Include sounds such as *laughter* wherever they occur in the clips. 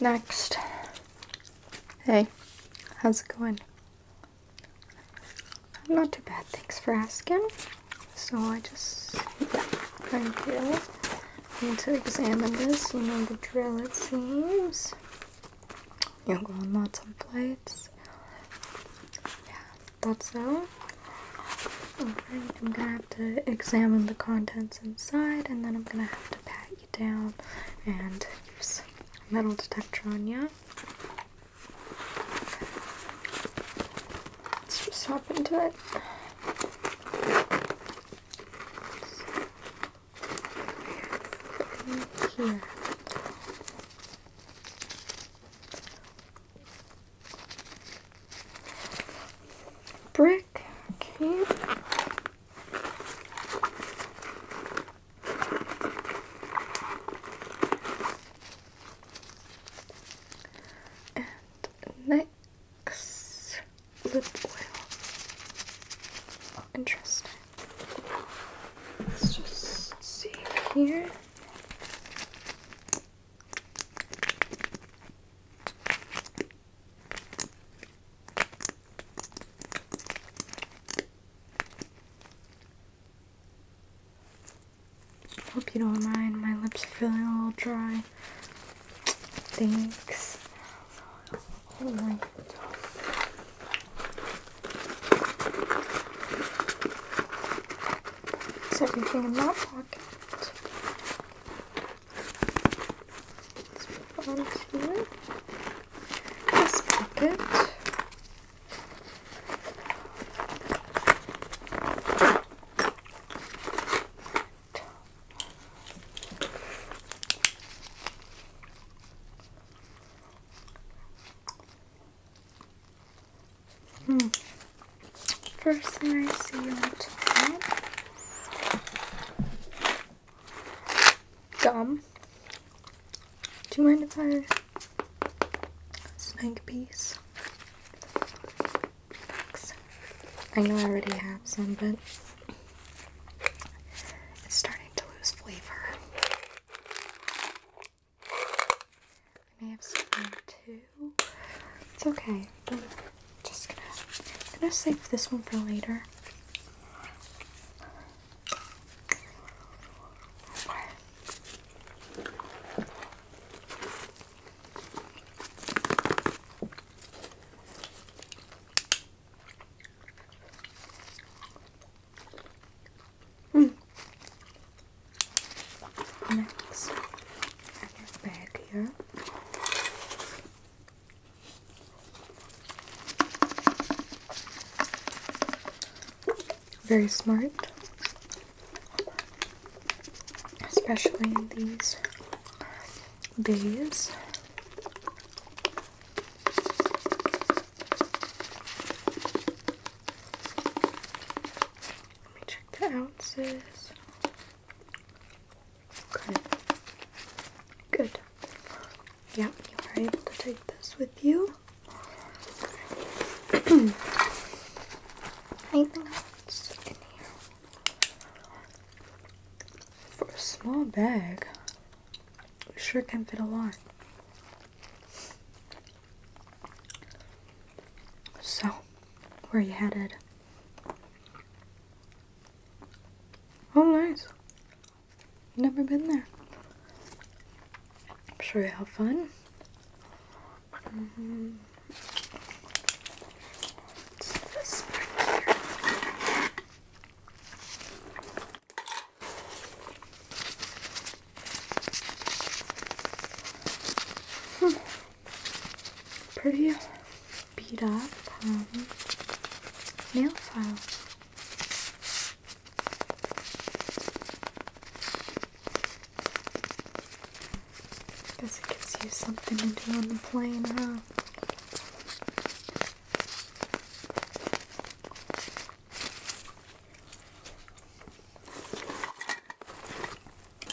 Next. Hey, how's it going? Not too bad, thanks for asking. So I just, yeah, thank you. Need to examine this, you know the drill it seems. you are going on lots of flights. Yeah, thought so. I'm gonna have to examine the contents inside and then I'm gonna have to pack you down and use metal detector on you. Let's just hop into it. Here. Brick, okay. And next, lip oil. Interesting. Let's just see here. Hope you don't mind. My lips are feeling a little dry. Thanks. Oh my God. Is everything in my pocket? This here. This pocket. Hmm. First thing I see Dumb. Do you mind if I snag a piece? I know I already have some, but it's starting to lose flavor. I have some too. It's okay. Just gonna, I'm gonna save this one for later. Mm. Next, back here. Very smart, especially these bays. Let me check the ounces. Okay. Good. Yep. you are able to take this with you. *clears throat* Anything else in here? For a small bag, sure can fit a lot. So, where are you headed? Oh, nice. Never been there. I'm sure you have fun. hmm. Pretty beat up um, nail file. Guess it gives you something to do on the plane, huh?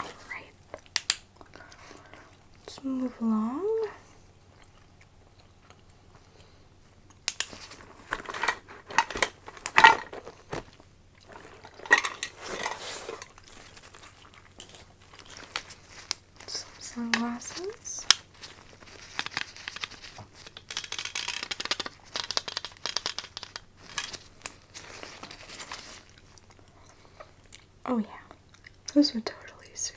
Alright. Let's move along. sunglasses. Oh yeah. This would totally suit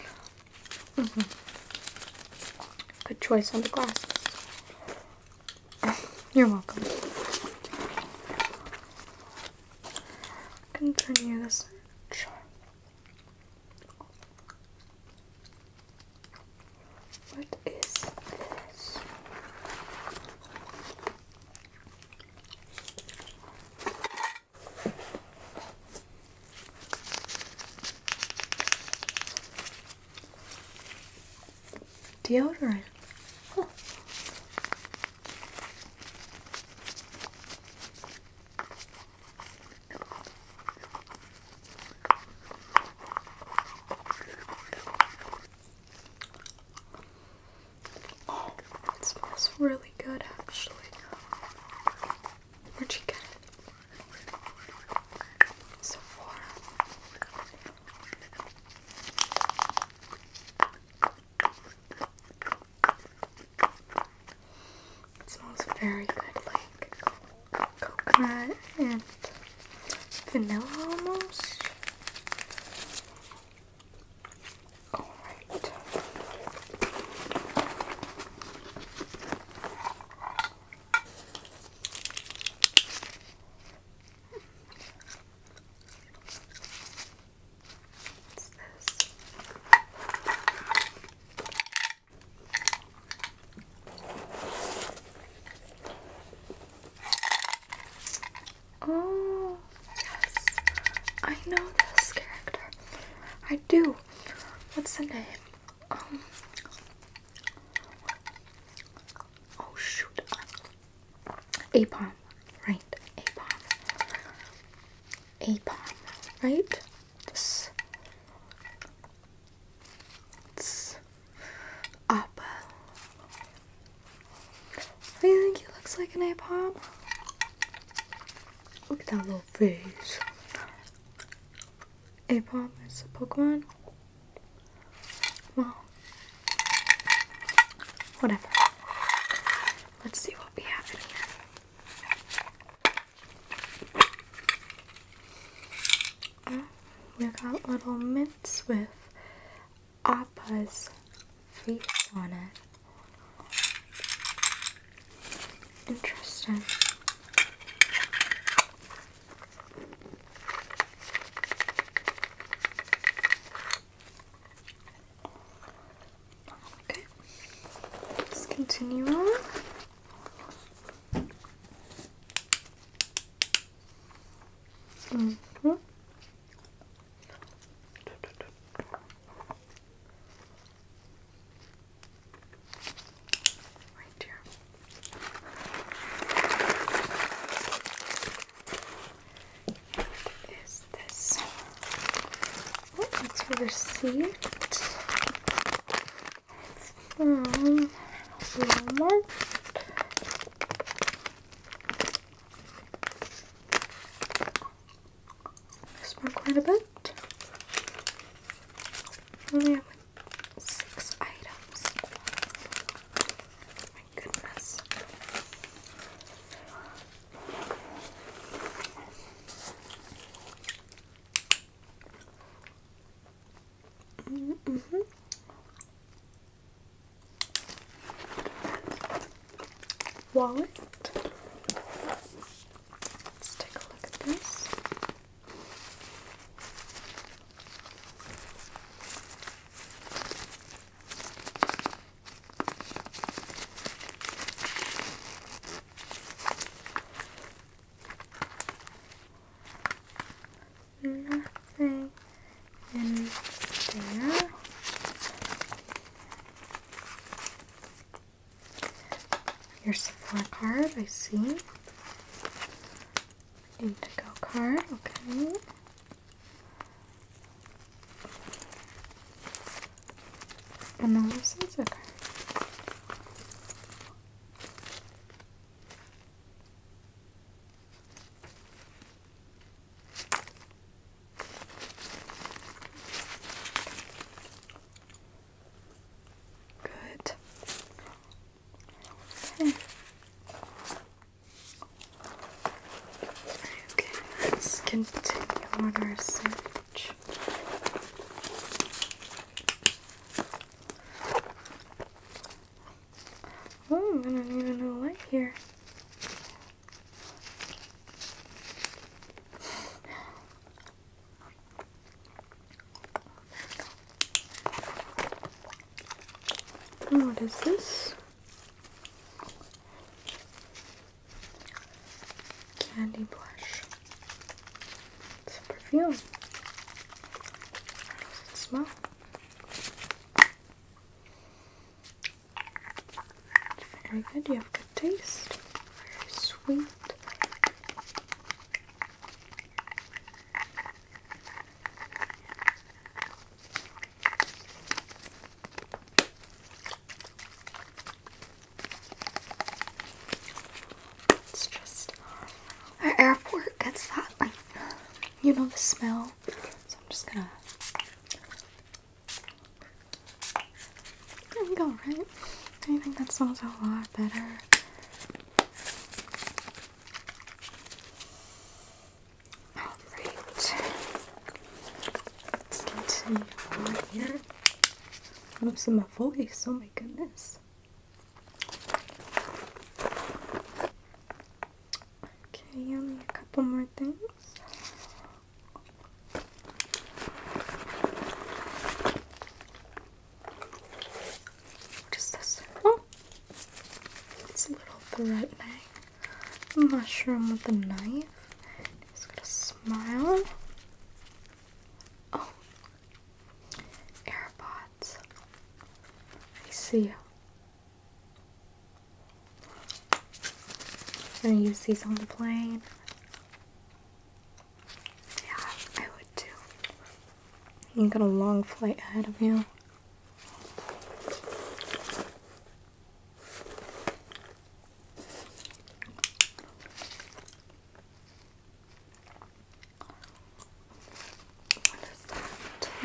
you. Mm-hmm. Good choice on the glasses. *laughs* You're welcome. Continue this. What is this? Deodorant. Oh, it smells really good actually. Where'd you get it? Sephora. It smells very good, like coconut and vanilla almost. All right. Oh, Yes, I know this character. I do. What's the name? Um. Oh shoot. Apom, right? Apom. Apom, right? This. It's Apple. Do you think he looks like an Apom? Look at that little face. Apom is a Pokemon. Well, whatever. Let's see what we have here. Uh, we got little mints with Appa's face on it. Interesting. let's continue on. -hmm. Right here. What is this? Oh, it's a receipt. From Walmart. Smell quite a bit. Only have like six items. my goodness. Mm -hmm wallet. Let's take a look at this. Nothing in there. Your Sephora card, I see. Need to go card, okay. And then this is okay. Good. Okay. Okay, let's continue on our search. Oh, I don't even know what here what is this? Candy blush. It's a perfume. How does it smell? Very good, you have good taste. Very sweet. It's just our airport gets that you know the smell. So I'm just gonna there we go, right? I think that sounds a lot better. Alright. Let's continue on here. I don't see my voice, oh my goodness. Okay, only um, a couple more things. What is this? Oh, it's a little threatening. Mushroom with a knife. He's got a smile. Oh, AirPods. I see you. Gonna use these on the plane. Yeah, I would too. You got a long flight ahead of you.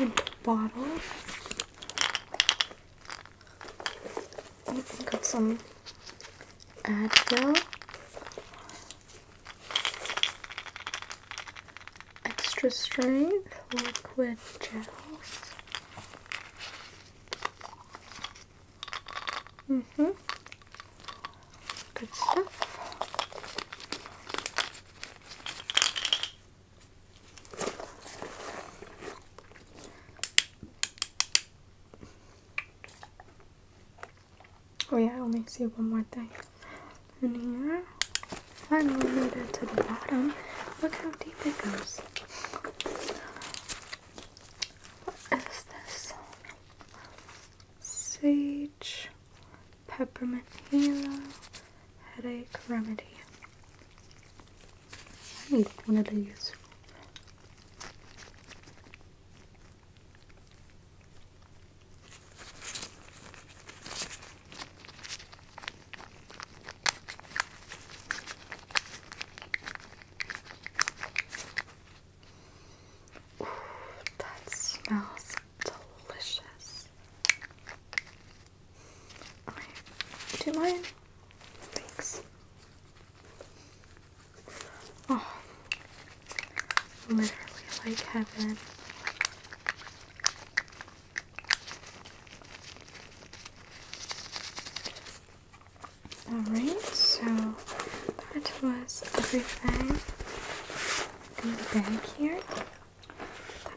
What is bottle. Got some Advil. Extra strength liquid gels. hmm Good stuff. Oh yeah, I only see one more thing in here. Finally made it to the bottom. Look how deep it goes. What is this? Sage, peppermint halo, headache remedy one of these. Ooh, that smells delicious. do you mind? Oh, literally like heaven. Alright, so that was everything in the bag here. Put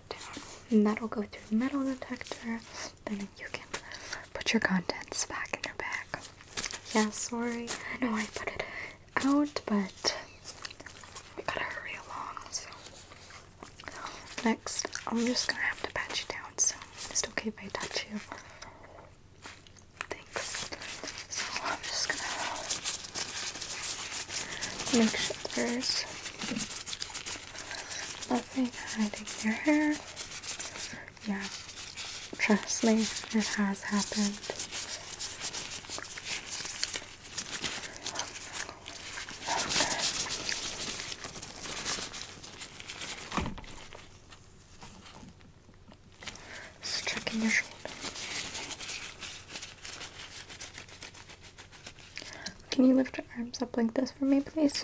that down. And that'll go through metal detector then you can put your contents back in your bag. Yeah, sorry, I know I put it out, but we gotta hurry along, so. Next, I'm just gonna have to pat you down, so it's okay if I touch you. Thanks. I'm just gonna make sure there's nothing hiding your hair yeah, trust me, it has happened. checking your shoulder. Can you lift your arms up like this for me, please?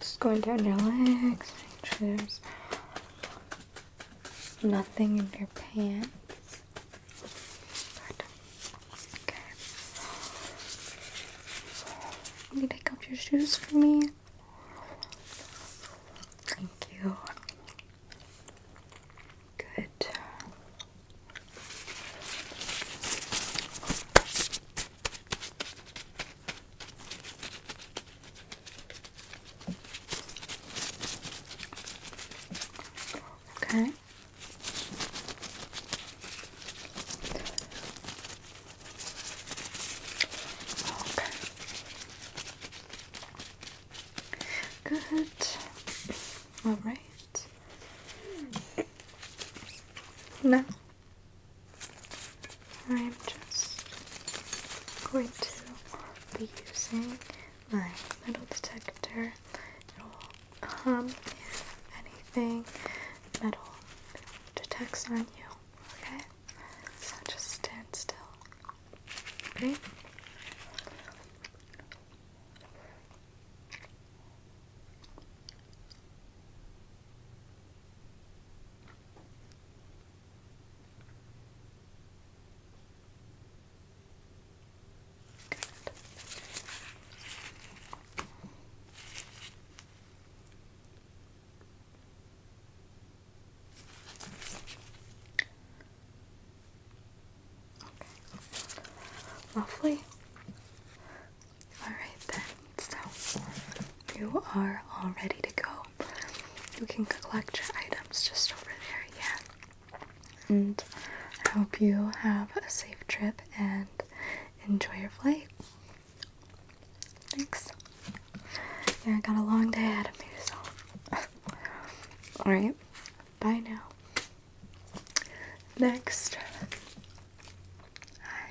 Just going down your legs, make sure there's nothing in your pants. Okay. Can you take off your shoes for me? Thank you. Good. Okay. Okay. Good. All right. Now I'm just going to be using my metal detector. It'll hum if anything metal detects on you. Okay? So just stand still. Okay? Lovely. Alright then, so you are all ready to go you can collect your items just over there, yeah. And I hope you have a safe trip and enjoy your flight. Thanks. Yeah, I got a long day ahead of me, so. *laughs* Alright, bye now. Next. Hi.